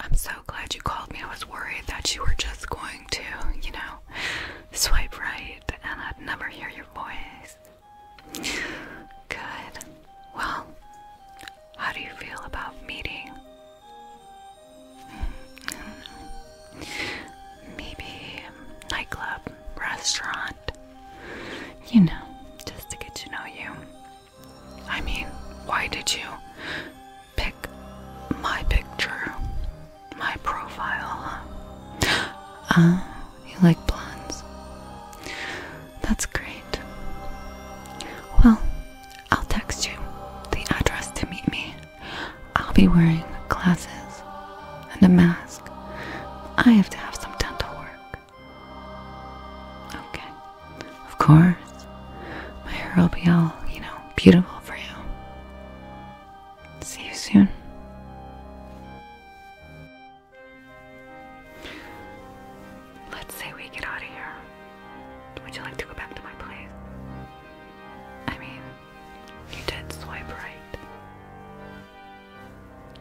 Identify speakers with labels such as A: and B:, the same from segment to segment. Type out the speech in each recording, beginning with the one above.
A: I'm so glad you called me. I was worried that you were just going to, you know, swipe right and I'd never hear your voice. Good. Well, how do you feel about meeting? Maybe nightclub, restaurant, you know, just to get to know you. I mean, why did you pick my picture? My profile? Ah, uh, you like blondes? That's great. Well, I'll text you the address to meet me. I'll be wearing glasses and a mask. I have to have some dental work. Okay. Of course, my hair will be all, you know, beautiful for you. See you soon. Let's say we get out of here. Would you like to go back to my place? I mean, you did swipe right.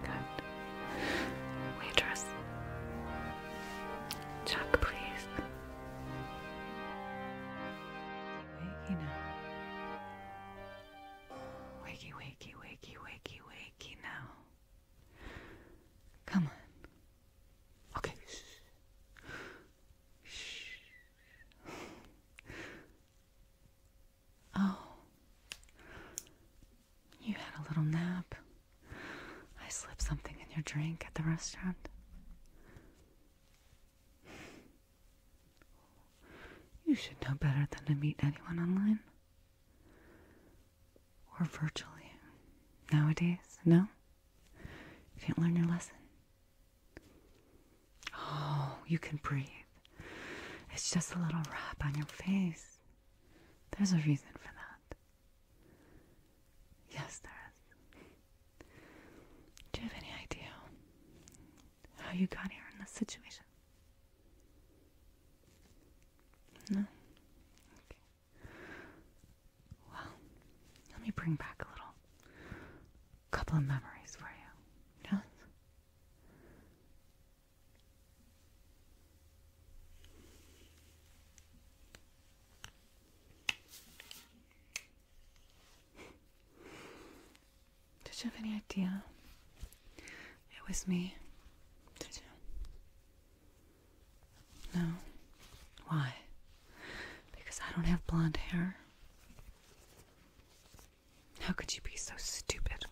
A: Good. Waitress. Check, please. Waking up. Wakey, wakey, wakey, wakey, wakey now. Come on. Okay. Shh. Oh. You had a little nap. I slipped something in your drink at the restaurant. You should know better than to meet anyone online. Or virtually. Nowadays, no? You can not learn your lesson. Oh, you can breathe. It's just a little rub on your face. There's a reason for that. Yes, there is. Do you have any idea how you got here in this situation? No? Okay. Well, let me bring back a little couple of memories for you. Yes? Did you have any idea it was me? Did you? No. Why? Because I don't have blonde hair. How could you be so stupid?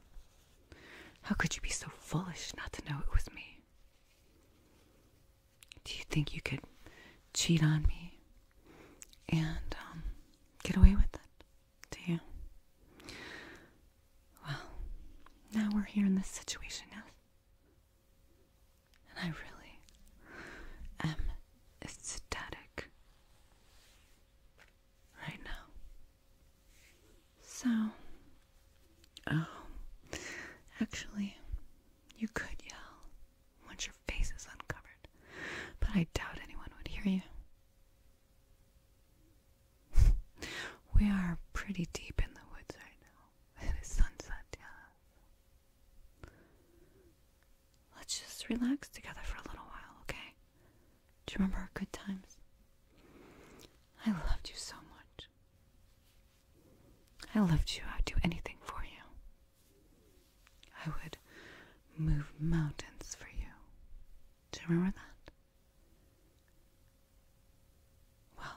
A: How could you be so foolish not to know it was me? Do you think you could cheat on me and um, get away with it? Do you? Well, now we're here in this situation, now, And I really am ecstatic right now. So, um, actually, you could yell once your face is uncovered, but I doubt anyone would hear you. we are pretty deep in the woods right now. It is sunset, yeah. Let's just relax together for a little while, okay? Do you remember our good times? I loved you so much. I loved you. I'd do anything for you. I would move mountains for you. Do you remember that? Well,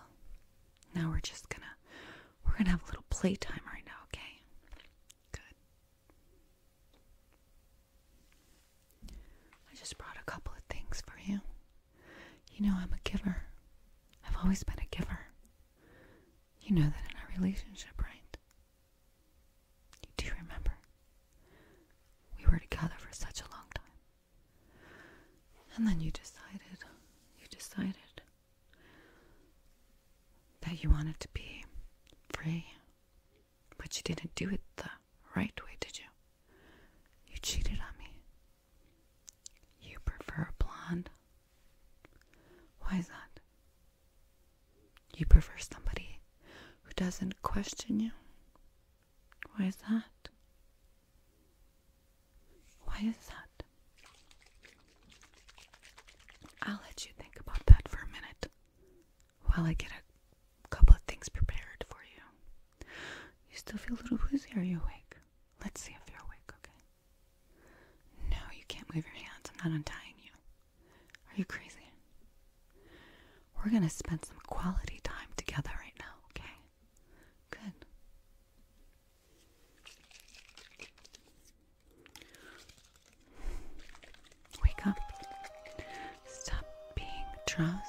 A: now we're just gonna we're gonna have a little playtime right now, okay? Good. I just brought a couple of things for you. You know I'm a giver. I've always been a giver. You know that in our relationship, right? You do remember. We were together for such a long time. And then you decided, you decided that you wanted to be free. But you didn't do it the right way, did you? You cheated on me. You prefer a blonde? Why is that? You prefer somebody who doesn't question you? Why is that? Why is that? I'll let you think about that for a minute while I get a couple of things prepared for you. You still feel a little woozy. Are you awake? Let's see if you're awake, okay? No, you can't move your hands. I'm not untying you. Are you crazy? We're going to spend some quality time together right now, okay? Good. Wake up. Stop being drowsy.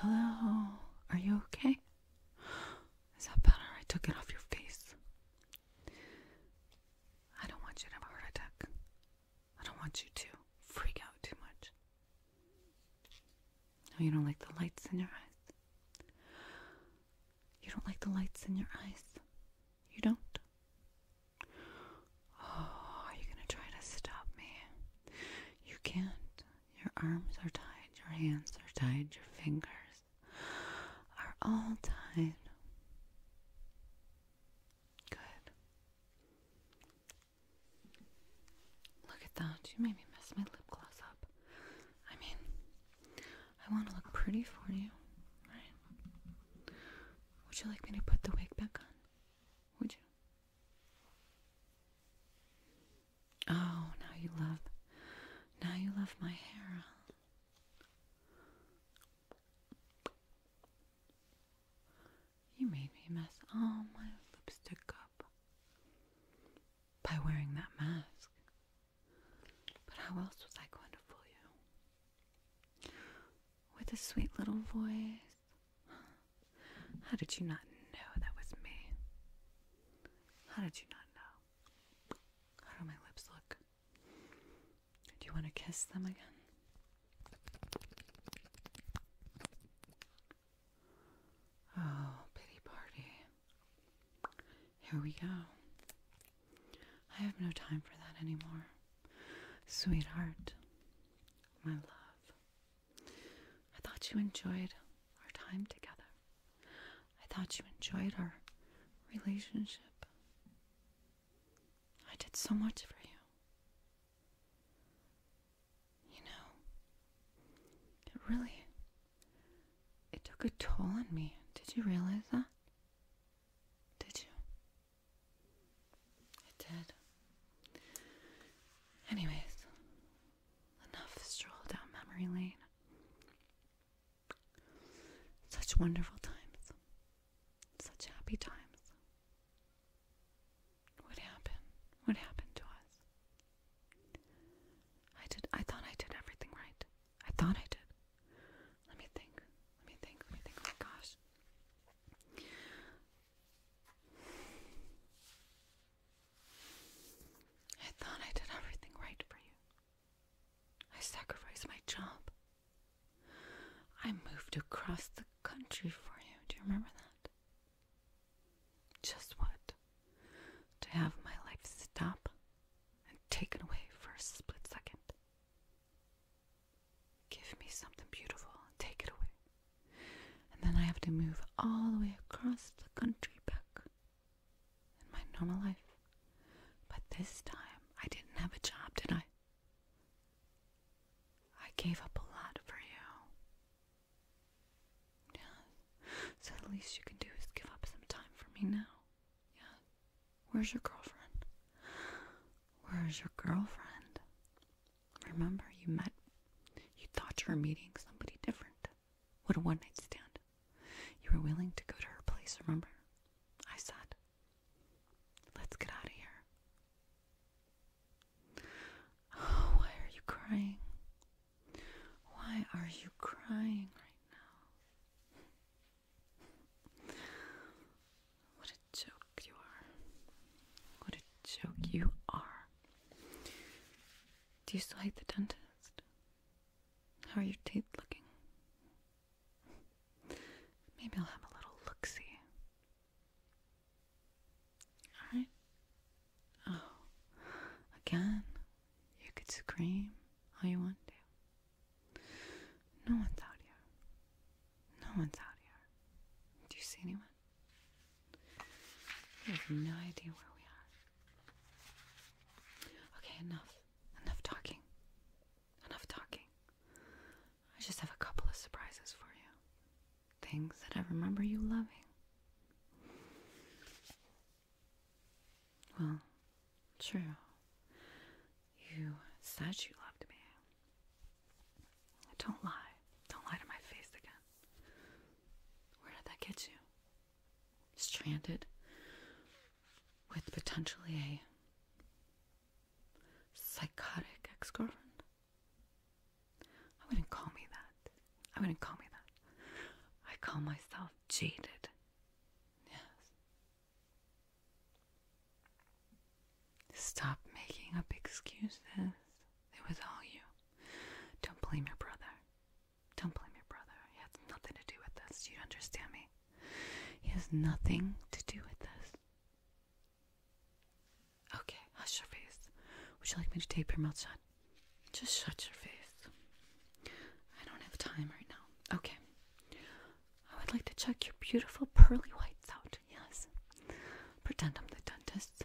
A: Hello, are you okay? Is that better? I took it off your face. I don't want you to have a heart attack. I don't want you to freak out too much. No, you don't like the lights in your eyes. You don't like the lights in your eyes. You don't? Oh, are you going to try to stop me? You can't. Your arms are tied, your hands are tied, your fingers are all tied. Good. Look at that. You made me mess my lip gloss up. I mean, I want to look pretty for you, right? Would you like me to put the wig back on? Would you? Oh, now you love, now you love my hair. You made me mess all my lipstick up by wearing that mask. But how else was I going to fool you? With a sweet little voice. How did you not know that was me? How did you not know? How do my lips look? Do you want to kiss them again? Oh, pity party. Here we go. I have no time for that anymore. Sweetheart, my love, I thought you enjoyed our time together. I thought you enjoyed our relationship. I did so much for you. You know, it really it took a toll on me. Did you realize that? Did you? It did. Anyways, enough stroll down memory lane. Such wonderful times. Such happy times. What happened? What happened to us? I did I thought I did everything right. I thought I did. Let me think. Let me think. Let me think. Oh my gosh. I thought I did everything right for you. I sacrificed my job. I moved across the country for you. Do you remember that? Just what? To have my life stop and taken away for a split second. Give me something beautiful and take it away. And then I have to move all the way across the country back in my normal life. But this time I didn't have a job, did I? I gave up a lot for you. Yeah. So at least you can do is give up some time for me now. Yeah. Where's your girlfriend? Where's your girlfriend? Remember, you met, you thought you were meeting somebody different. What a one night stand. You were willing to go to her place, remember? I said, let's get out of here. Oh, why are you crying? Why are you crying right now? What a joke you are. What a joke you are. Do you still hate the dentist? How are your teeth looking? Maybe I'll have a little look Alright. Oh, again, you could scream all you want to. No one's out here. No one's out here. Do you see anyone? You have no idea where we are. Okay, enough. Enough talking. Enough talking. I just have a couple of surprises for you. Things that I remember you loving. Well, true. You said you loved me. Don't lie. Don't lie to my face again. Where did that get you? Stranded with potentially a psychotic ex girlfriend? I wouldn't call me that. I wouldn't call me that. I call myself jaded. Yes. Stop making up excuses. It was all you. Don't blame your brother. Don't blame your brother. He has nothing to do with this. You understand me? He has nothing to do with this. Okay, hush your face. Would you like me to tape your mouth shut? Just shut your face. I don't have time right now. Okay. I would like to check your beautiful pearly whites out. Yes. Pretend I'm the dentist.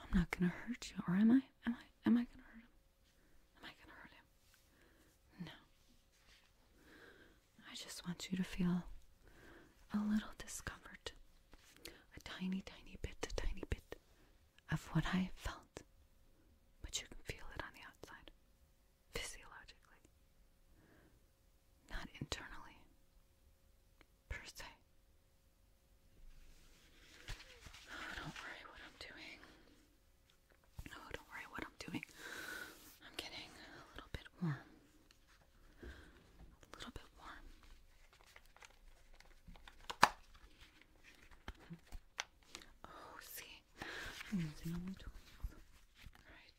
A: I'm not gonna hurt you, or am I? Am I? Am I gonna hurt Am I gonna hurt him? No. I just want you to feel a little discomfort. A tiny, tiny bit, a tiny bit of what I felt. But you can feel it on the outside physiologically, not internally, per se. Oh, don't worry what I'm doing. Oh, don't worry what I'm doing. I'm getting a little bit warm. A little bit warm. Oh, see, Using only 12. Alright.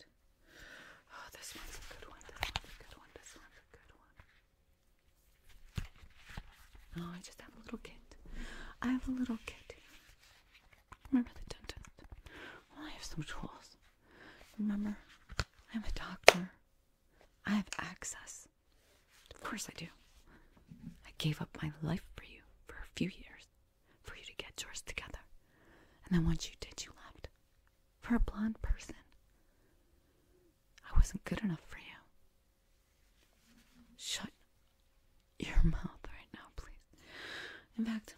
A: Oh, this one's a good one. This one's a good one. This one's a good one. Oh, I just have a little kit. I have a little kit. Remember the dentist? Well, oh, I have some tools. Remember, I'm a doctor. I have access. Of course I do. I gave up my life for you for a few years for you to get yours together. And then once you did, you left. For a blonde person, I wasn't good enough for you. Shut your mouth right now, please. In fact,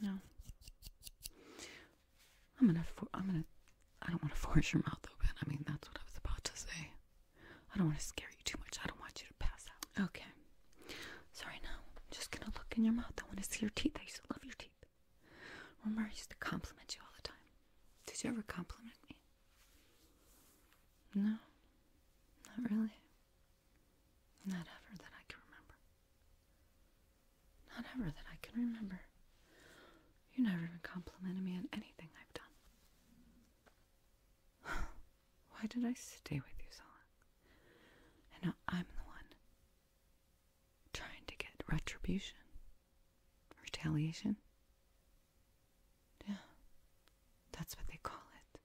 A: you I am going to i am going to i do not want to force your mouth open. I mean, that's what I was about to say. I don't want to scare you too much. I don't want you to pass out. Okay. Sorry, now. I'm just going to look in your mouth. I want to see your teeth. I used to love your teeth. Remember, I used to compliment you all the time. Did you ever compliment me? No. Not really. Not ever that I can remember. Not ever that I can remember. You never even complimented me on anything I've done. Why did I stay with you so long? And now I'm the one trying to get retribution, retaliation. Yeah, that's what they call it.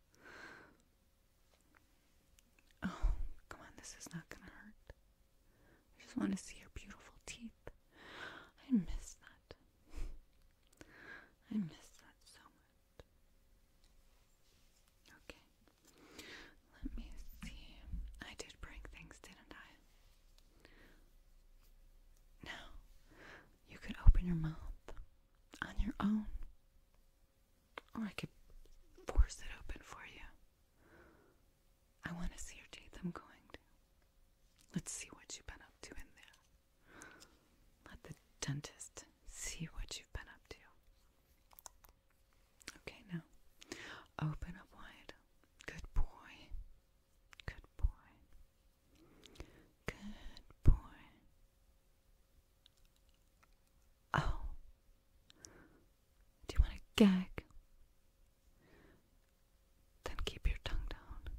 A: Oh, come on, this is not gonna hurt. I just want to see your beautiful teeth. I miss that. I miss that so much. Okay. Let me see. I did bring things, didn't I? No. You could open your mouth on your own. Or I could force it open for you. I want to see your teeth. I'm going to. Let's see what you've been up to in there. Let the dentist see what you've been up to. Okay, now open up wide. Good boy. Good boy. Good boy. Oh. Do you want to gag? Then keep your tongue down.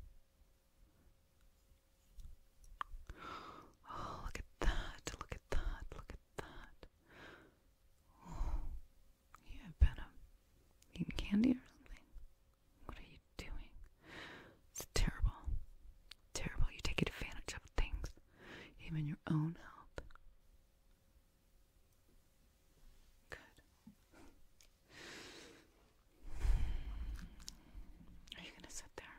A: Oh, look at that, look at that, look at that. Oh, you have been um, eating candy or something. What are you doing? It's terrible. Terrible. You take advantage of things, even your own help. Good. Are you gonna sit there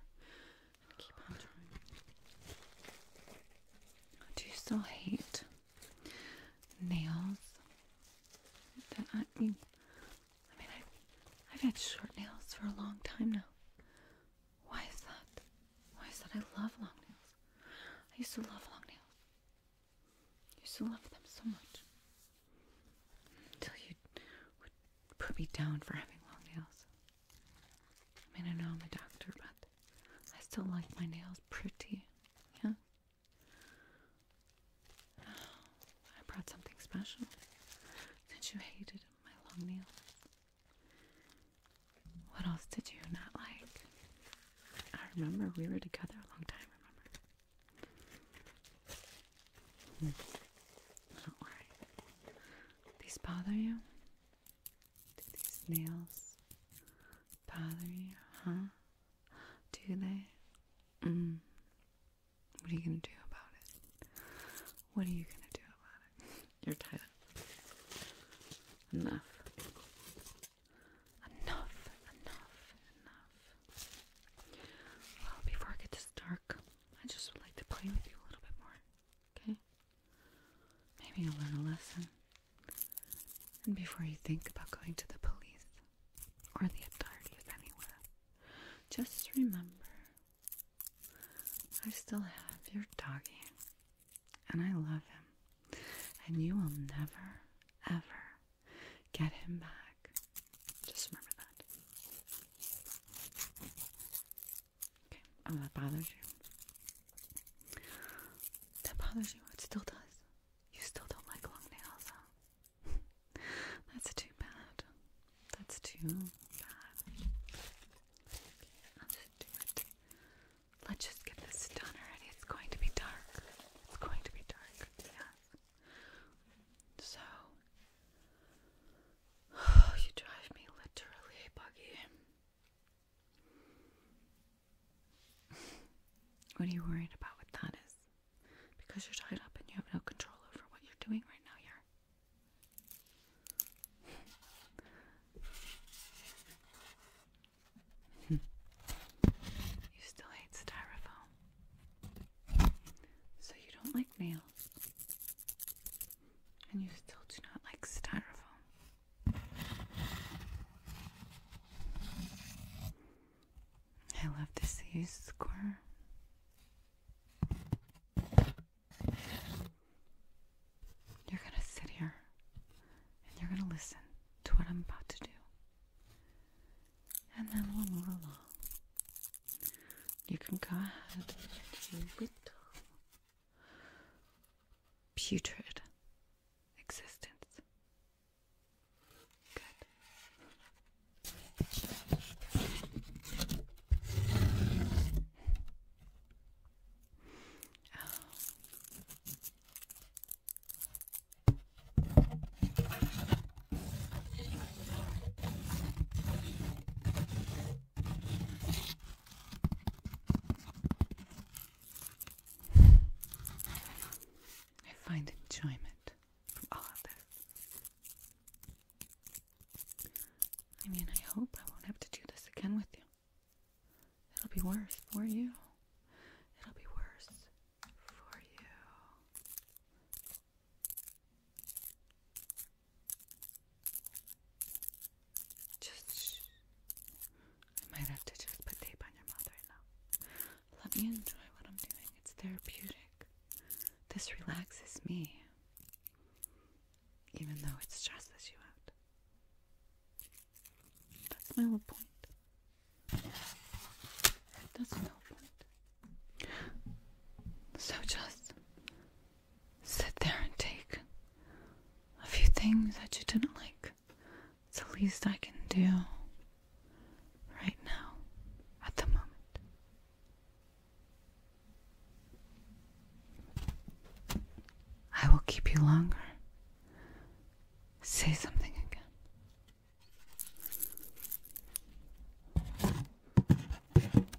A: Do you still hate nails? I mean, I have had short nails for a long time now. Why is that? Why is that? I love long nails. I used to love long nails. I used to love them so much. Until you put me down for having long nails. I mean, I know I'm a doctor, but I still like my nails pretty. Yeah. Oh, I brought something special. Since you hated my long nails. What else did you not like? I remember we were together a long time, remember? Hmm. Don't worry. These bother you? Do these nails bother you, huh? Do they? Mm. What are you gonna do about it? What are you gonna do about it? You're tied Enough. Enough, enough, enough. Well, before I get to start, I just would like to play with you a little bit more. Okay? Maybe you'll learn a lesson. And before you think about going to the police or the authorities anywhere, just remember I still have your doggie, And I love him. And you will never, ever get him back. Just remember that. Okay, oh, that bothers you. That bothers you. It still does. You still don't like long nails, That's too bad. That's too bad. Let's just get this done already. It's going to be dark. It's going to be dark. Yes. So you drive me literally buggy. What are you worried about with that is? Because you're tied up and you have no control over what you're doing right now here. you still hate styrofoam. So you don't like nails. And you still do not like styrofoam. I love to see you squirm. You're going to sit here and you're going to listen to what I'm about to do. And then we'll move along you can go ahead and putrid existence. Good. I find enjoyment from all of this. I mean, I hope I won't have to do this again with you. It'll be worse for you. It'll be worse for you. Just, I might have to just put tape on your mouth right now. Let me enjoy what I'm doing. It's therapeutic. This relaxes me, even though it stresses you out. That's my whole point. That's no point. So just sit there and take a few things that you didn't like. It's the least I can do right now, at the moment. I will keep you longer. Say something again.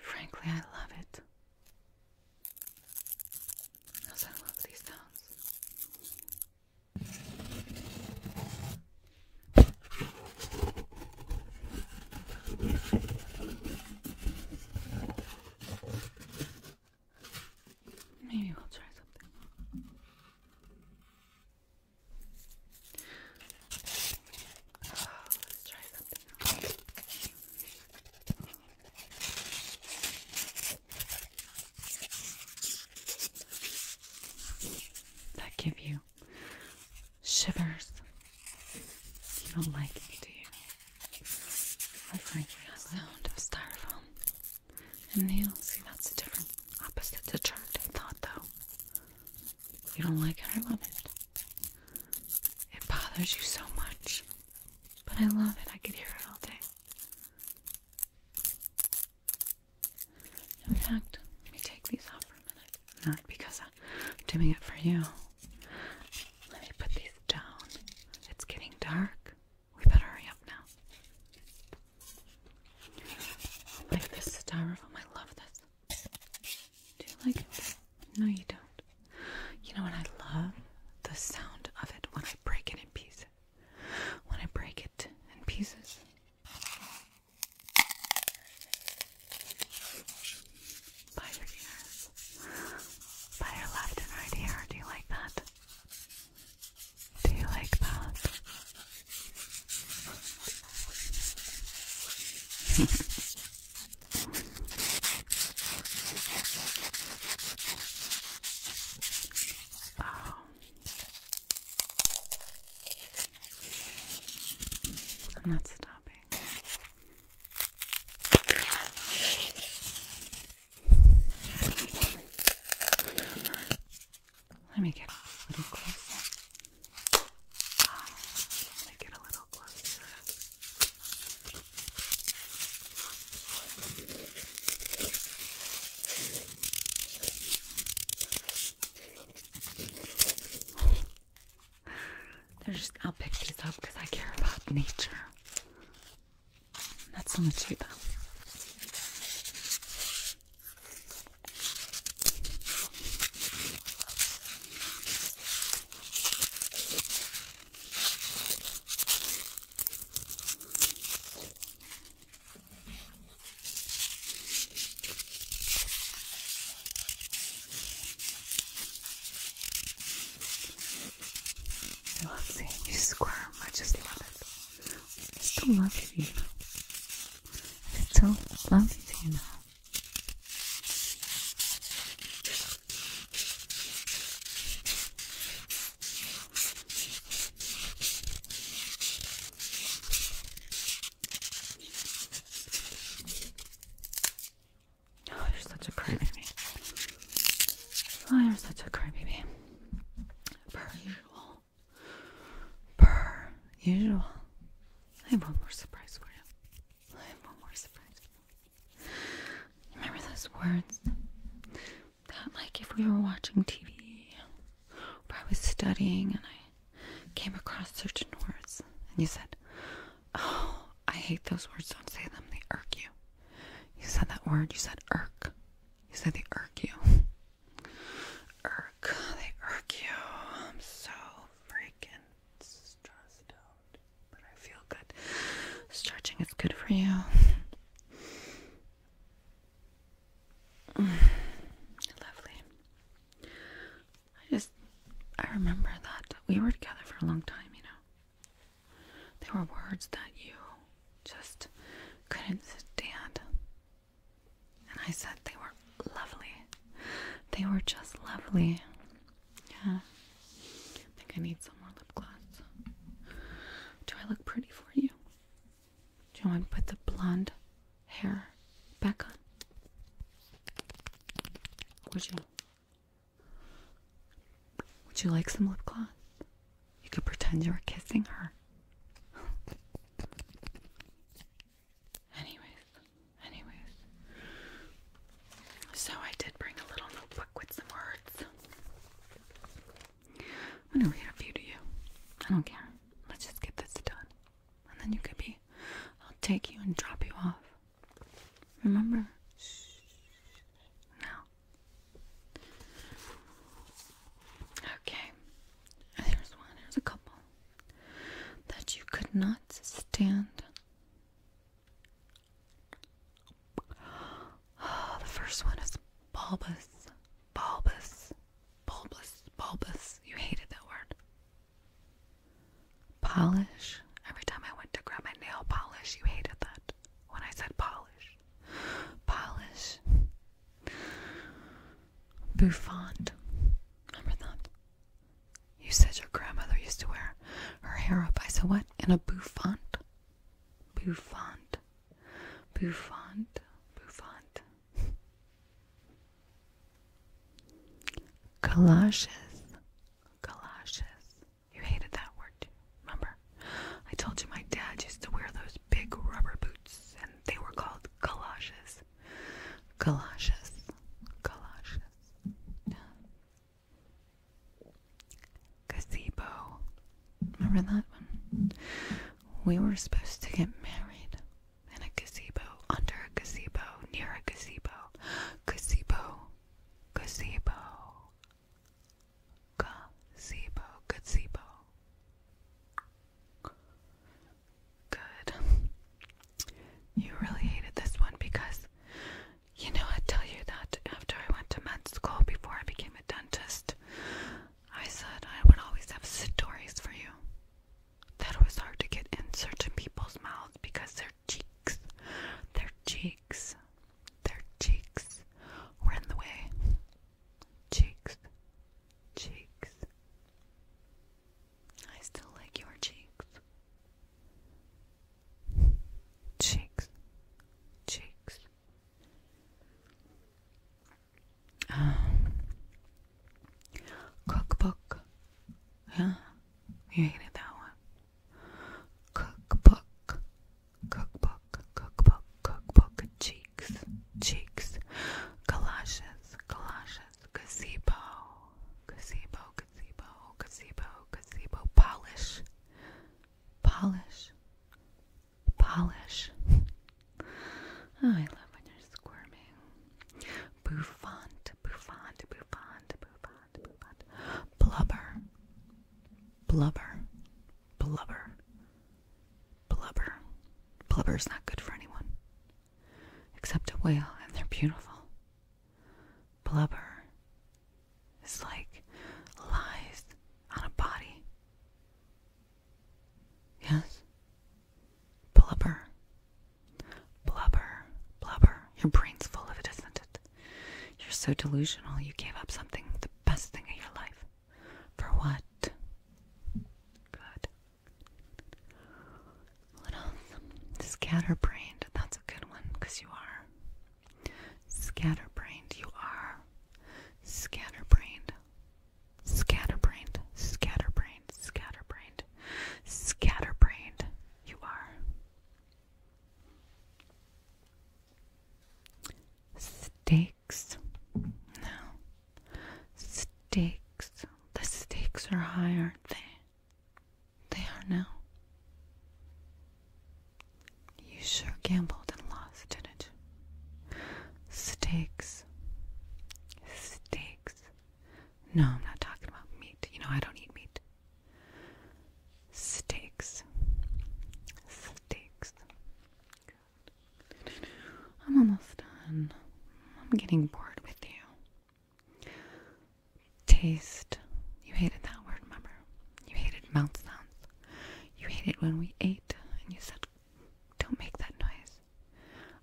A: Frankly, I love it. I love these sounds. Maybe we'll try something. Oh, That give you shivers. You don't like it, do you? That's like the sound of styrofoam and nails. See, that's the Opposite to chart, I thought, though. You don't like it, I love it. It bothers you so much, but I love it. I could hear it all day. In fact, let me take these off for a minute. Not because I'm doing it for you. Let me put these down. It's getting dark. We better hurry up now. Like this styrofoam, I love this. Do you like it? No, you don't. You know what I love? The sound of it when I break it in pieces. When I break it in pieces. By your ears. By your left and right ear. Do you like that? Do you like that? I'm not stopping. Let me get a little closer. let me get a little closer. They're just, I'll pick these up because I care about nature. That's on the tree, though. I love seeing you squirm. I just love it. I still love you. It's so lovely to you now. Oh, you're such a crybaby. Oh, you such a crybaby. Per usual per usual. I have one more surprise for you. I have one more surprise. Remember those words that, like, if we were watching TV or I was studying and I came across certain words, and you said, "Oh, I hate those words. Don't say them. They irk you." You said that word. You said irk. You said they irk you irk. They irk you. I'm so freaking stressed out, but I feel good. Stretching is good for you. Lovely. I just, I remember that we were together for a long time, you know. There were words that you just couldn't stand. And I said they were lovely. They were just lovely. Yeah. I think I need some more lip gloss. Do I look pretty for you? Do you want to put the blonde hair back on? Would you? Would you like some lip gloss? You could pretend you were kissing her. Anyways, anyways. So I did bring a little notebook with some words. I'm gonna read a few to you. I don't care. Let's just get this done. And then you could be, I'll take you and drop you off. Remember? Shh. Okay. Here's one. Here's a couple that you could not stand. Oh, the first one is bulbous, bulbous, bulbous, bulbous. You hated that word. Polish. Every time I went to grab my nail polish, you hated that when I said polish. Polish bouffant. Remember that? You said your grandmother used to wear her hair up. I said what? In a bouffant? Bouffant. Bouffant. Bouffant. Galoshes. Galoshes. You hated that word, too. remember? I told you my dad used to wear those big rubber boots and they were called galoshes galoshes, galoshes. Gazebo. Remember that one? We were supposed to get married in a gazebo, under a gazebo, near a gazebo. Gazebo, gazebo, gazebo, gazebo, Good. You really hated this one because, you know, I tell you that after I went to med school, before I became a dentist, I said I would always have stories for you. That it was hard to get in certain people's mouths because their cheeks, their cheeks, their cheeks were in the way cheeks, cheeks. I still like your cheeks. Cheeks, cheeks. Um, cookbook. Yeah, you hated that one. Cookbook, cookbook, cookbook, cookbook, cheese cheeks, cheeks, galoshes, galoshes, gazebo, gazebo, gazebo, gazebo, polish, polish, polish. oh, I love when you're squirming. Bouffant, bouffant, bouffant, bouffant, bouffant, blubber, blubber, blubber. Blubber. Blubber's not good for anyone except a whale, and they're beautiful. Blubber is like lies on a body. Yes? Blubber. Blubber. Blubber. Your brain's full of it, isn't it? You're so delusional you gave up something, the best thing in your life. For what? Good. What Scatterbrained. That's a good one you are. Scatterbrained. You are. Scatterbrained. Scatterbrained. Scatterbrained. Scatterbrained. Scatterbrained. You are. Steaks. No. Stakes. The stakes are high, aren't they? They are now. You sure gambled and lost, in it? Stakes. Stakes. No, I'm not talking about meat. You know, I don't eat meat. Stakes. Stakes. I'm almost done. I'm getting bored with you. Taste. You hated that word, remember? You hated mouth sounds. You hated when we ate, and you said, Don't make that noise.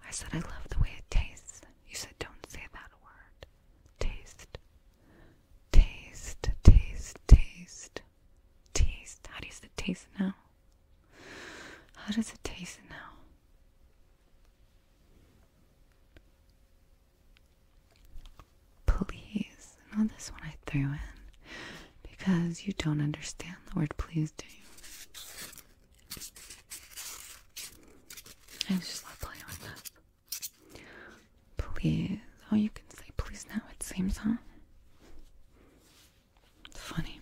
A: I said, I love the way it tastes. You said, Don't say that word. Taste. Taste, taste, taste. Taste. How do you say taste now? How does it taste now? Please. Now this one I threw in because you don't understand the word please, do you? I just love playing with that. Please. Oh, you can say please now, it seems, huh? funny.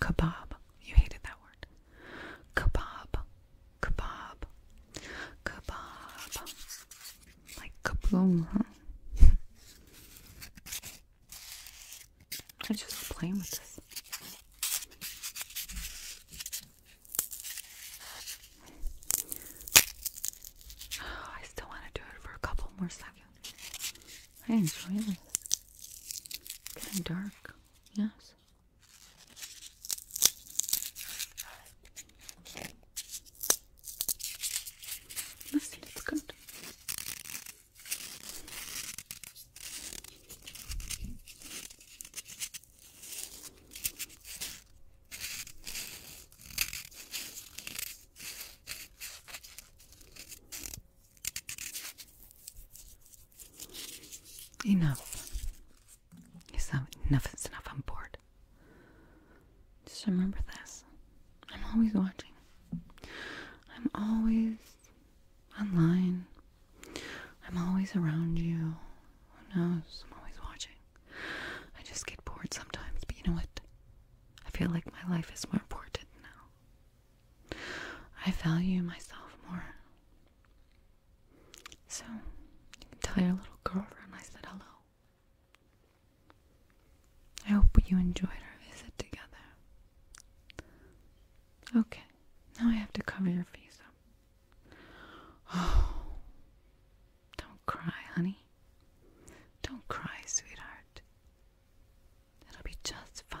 A: Kebab. You hated that word. Kebab. Kebab. Kebab. Like kaboom. Huh? I just playing with this. Oh, I still want to do it for a couple more seconds. I enjoy this. getting dark. Yes. This looks good. Enough. It's not, enough is enough. I'm bored. Just remember this. I'm always watching. I'm always online. I'm always around you. Who knows? I'm always watching. I just get bored sometimes, but you know what? I feel like my life is more important now. I value myself more. So, you can tell your little girlfriend I said hello. I hope you enjoyed our visit together. Okay, now I have to cover your face up. Oh, don't cry, honey. Don't cry, sweetheart. It'll be just fine.